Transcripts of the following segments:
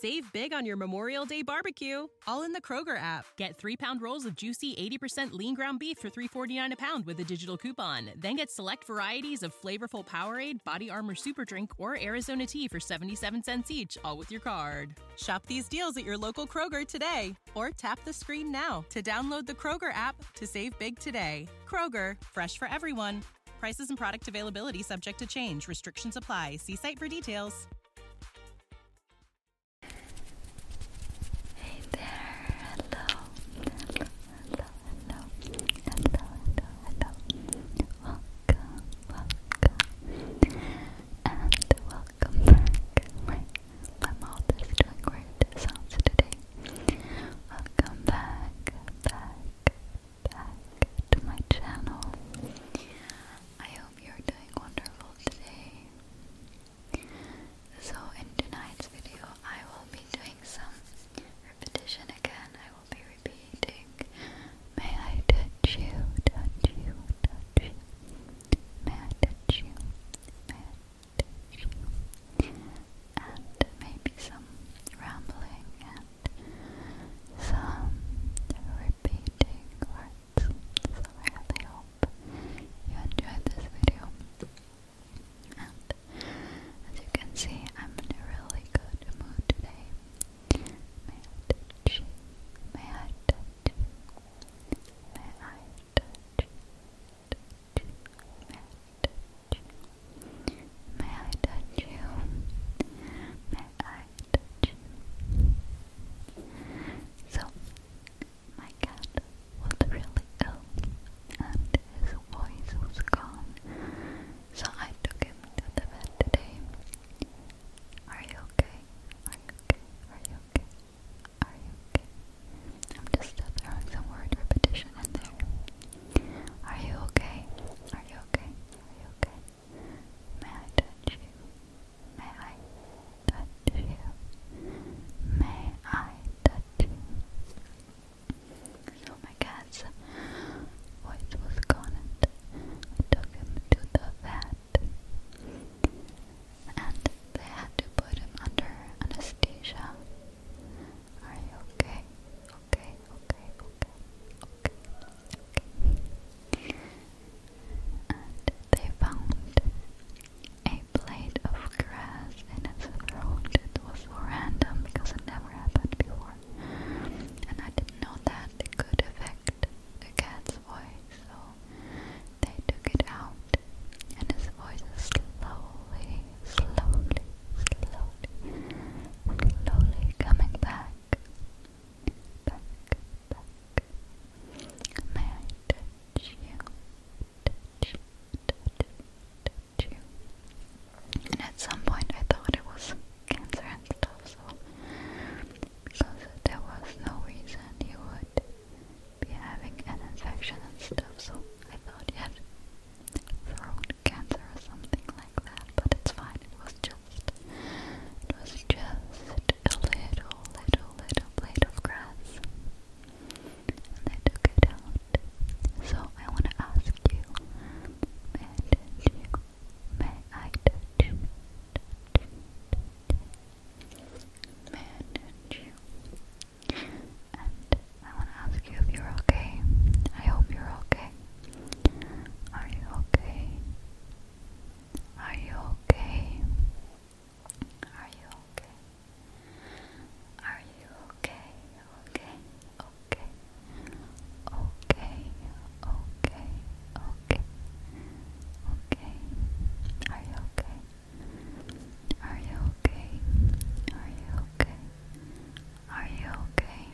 Save big on your Memorial Day barbecue, all in the Kroger app. Get three pound rolls of juicy 80% lean ground beef for 3.49 a pound with a digital coupon. Then get select varieties of flavorful Powerade, Body Armor Super Drink, or Arizona tea for 77 cents each, all with your card. Shop these deals at your local Kroger today, or tap the screen now to download the Kroger app to save big today. Kroger, fresh for everyone. Prices and product availability subject to change. Restrictions apply. See site for details. Hey there. Hello. Hello, hello, hello. Hello, hello, Welcome, welcome. And welcome back. My, my mouth is sounds today. Welcome back, back, back to my channel. I hope you're doing wonderful today. So, in tonight's video, I will be doing some repetition again. I will be repeating, May I touch you, touch you, touch you. May I touch you, may I touch you. And maybe some rambling and some repeating words. So I really hope you enjoyed this video. And as you can see, I'm in a really good mood today. May I touch? May I touch? May I touch? touch? May I touch you? May I touch So, my cat was really ill and his voice was gone, so I took him to the vet today. Are you okay? Are you okay? Are you okay? Are you okay? I'm just throwing some word repetition in there. Are you okay? Are you okay? Are you okay? May I touch you? May I touch you? May I touch you? So my cat's voice was gone I took him to the vet and they had to put him under anesthesia. Are you okay? Okay, okay, okay, okay, And they found a blade of grass and its throat. It was so random because it never happened before. And I didn't know that it could affect the cat's voice, so they took it out. And his voice is slowly, slowly slowly, slowly coming back, back, back. I And at some point, I thought it was cancer and stuff, so because there was no reason you would be having an infection and stuff, so I thought you throat cancer or something like that, but it's fine. It was just, it was just a little, little, little blade of grass, and I took it out. So I want to ask you, may I touch you. May I touch you? And I want to ask you if you're okay. I hope you're okay. Are you okay? Are you okay? Are you okay? Are you okay? Okay, okay, okay, okay, okay, okay. Are you okay? Are you okay? Are you okay? Are you okay?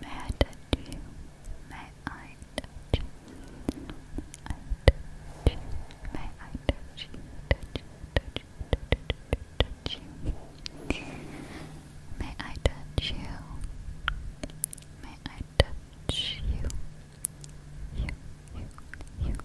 May I touch you? May I touch you? I touch you. May I touch you? Touch you, touch you, touch you, touch you. May I touch you? May I touch you? You, you, you.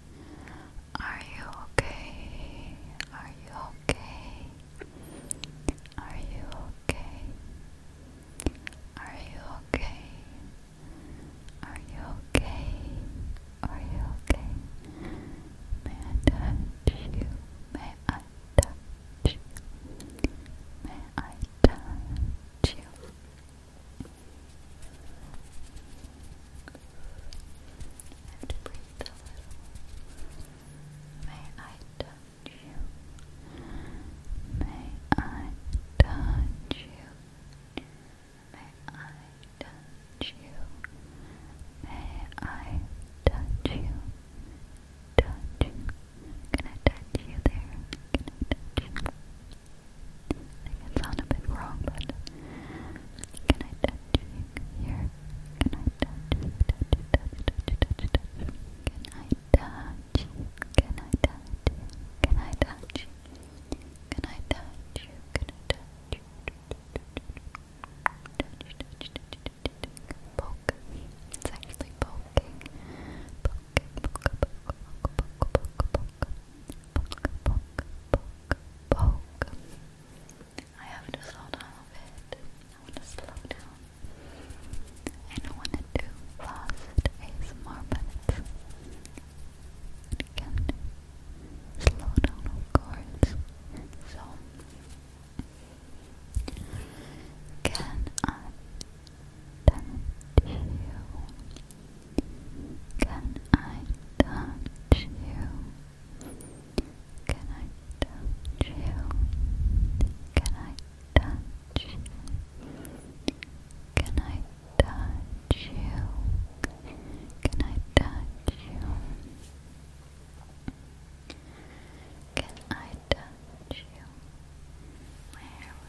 Are you okay? Are you okay? Are you okay? Are you okay? Are you okay? Are you okay? May I touch you? May I touch you? May I touch you? have to breathe a little. May I touch you? May I touch you? May I touch you? May I touch you? Touch. Can I touch you there? I can I touch you Can I touch you? Can I touch you? Can I touch you? Can I touch you? Can I touch you? Poke. It's actually poking. Poking, poke, poke, poke, poke, poke, Poke, I have to slow down a bit. I want to slow down. I don't want to do fast ASMR, but it's, can slow down, of can I tempt you can I touch you? Can I touch you? Can I touch Can I touch you? Can I touch you? Can I touch you? My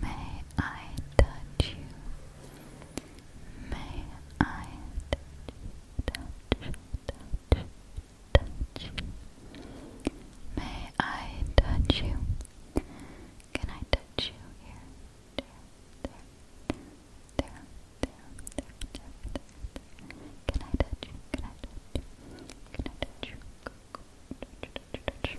May I touch you? May I touch you? Touch, touch, touch you. May I touch you? Can I touch you here? There, there, there, there, there, there, there. Can I touch you? Can I touch you? Can I touch you? Touch, touch, touch.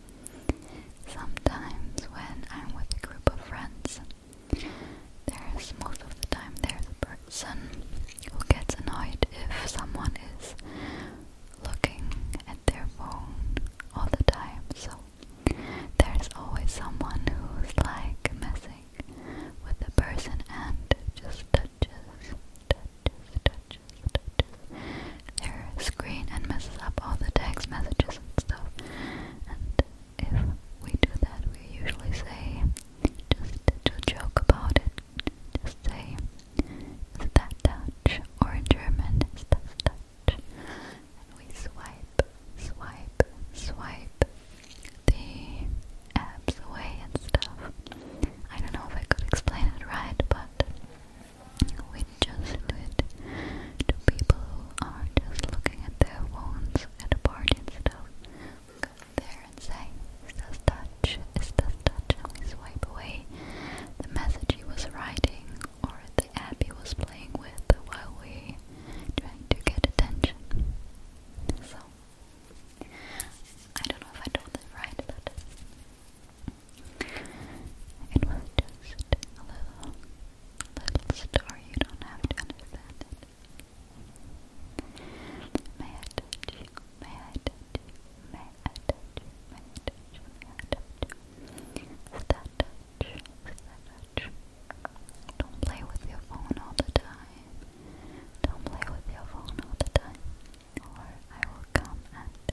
Sometimes when I'm with a group of friends, there's most of the time there's a person who gets annoyed if someone is looking at their phone all the time. So there's always someone who's like messing with the person and just touches, touches, touches, touches their screen and messes up all the text messages and stuff. And if we do that, we usually say, just to joke about it, just say, that Dutch? Or in German, is that we swipe, swipe, swipe the abs away and stuff. I don't know if I could explain it right, but we just do it to people are just looking at their phones at a party and stuff. there and say, is this Dutch? Is this Dutch? we swipe away the message he was writing or the app he was playing with while we trying to get attention. So, I don't know if I told it right, but it was just a little, little story. You don't have to understand May I touch you? May I touch you? May I touch you? May I touch you? touch touch? Don't play with your phone all the time. Don't play with your phone all the time. Or I will come and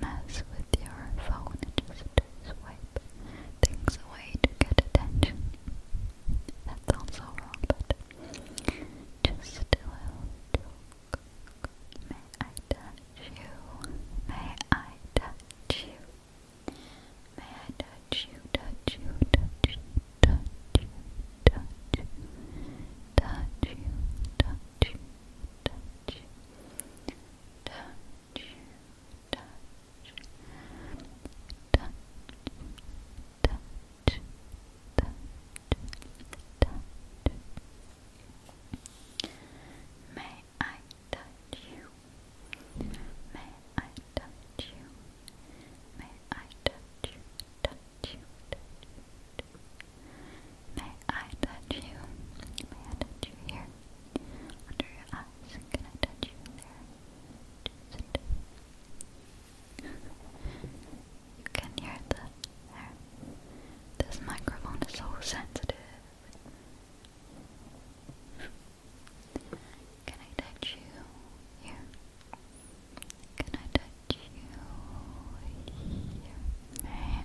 mess with your phone just swipe things away to get attention. That sounds wrong, but just a little joke. May I touch you? May I touch you? May I touch you, touch you, touch you, touch you, touch you, touch you, touch you, touch, I touch you? May I touch you? May I Touch you, touch you, touch you. May I touch you? May I touch you here? Under your eyes? Can I touch you there? you can hear the there. This microphone is so sensitive. Can I touch you here? Can I touch you here? May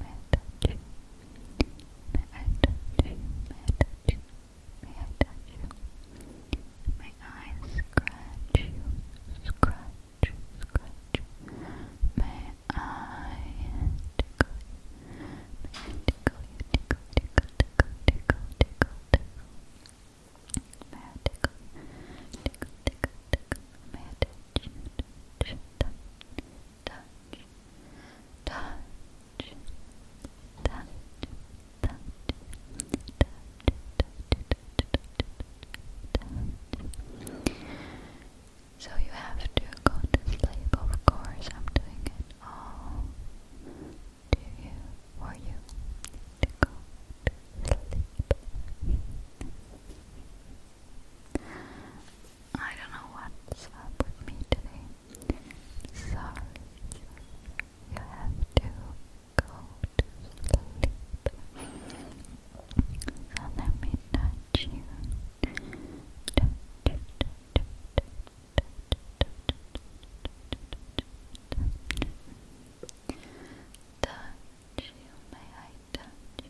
may I touch you? May I scratch Scratch, scratch. May I tickle tickle Tickle, tickle, tickle, tickle, tickle, tickle. May tickle Tickle, tickle, tickle. touch touch touch, touch, touch, touch, touch. So you have to go to sleep, of course. I'm doing it all to you for you to go to sleep. I don't know what's up with me today. Sorry, you have to go to sleep. So let me touch you. Touch, you, may touch, you,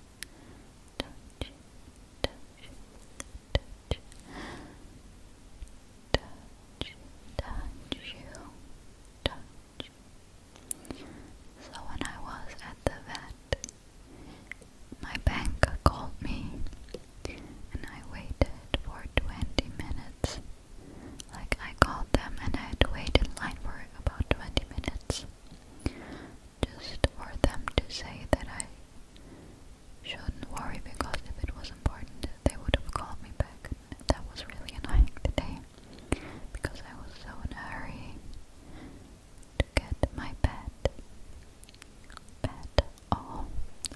So when I was at the vet, my banker called me and I waited for 20 minutes. Like I called them and I had to in line for about 20 minutes just for them to say that I shouldn't worry because if it was important they would have called me back. That was really annoying today because I was so in a hurry to get my bed. Bed. Oh,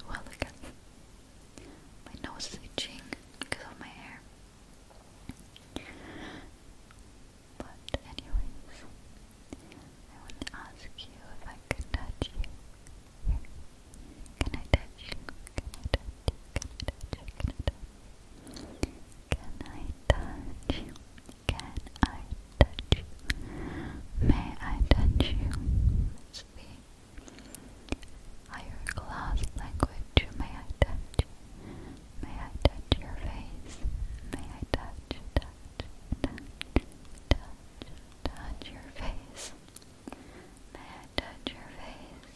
well again. My nose is itching because of my hair. But anyways, I want to ask you if I Can touch you? Can I touch you? Can I touch you? Can I touch you? Can I touch you? May I touch you? It's the higher class language. May I touch you? May I touch your face? May I touch, touch, touch, touch, touch your face? May I touch your face?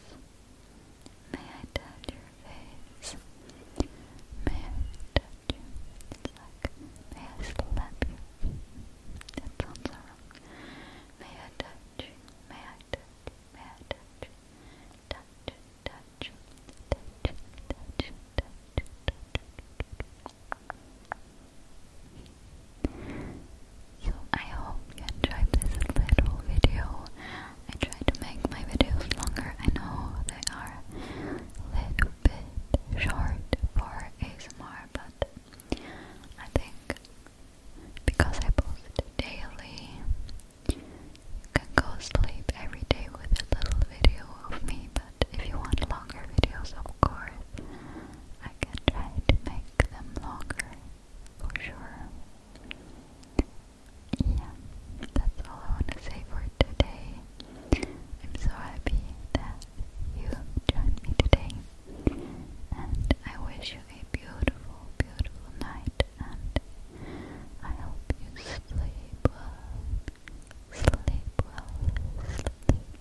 May I touch your face? May I touch you? may I slap you? That sounds wrong. May I touch May I touch May I touch you? I hope you enjoyed this little video. I try to make my videos longer. I know they are a little bit short for ASMR, but I think because I post daily, can go sleep every day with a little video of me, but if you want longer videos, of course, I can try to make them longer for sure. Yeah, that's all I want to say for today. I'm so happy that you joined me today, and I wish a beautiful, beautiful night, and I hope you sleep well. Sleep well, sleep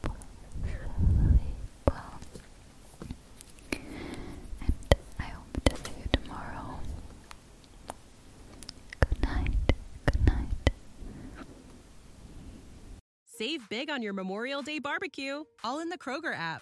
well, sleep well. And I hope to see you tomorrow. Good night, good night. Save big on your Memorial Day barbecue, all in the Kroger app.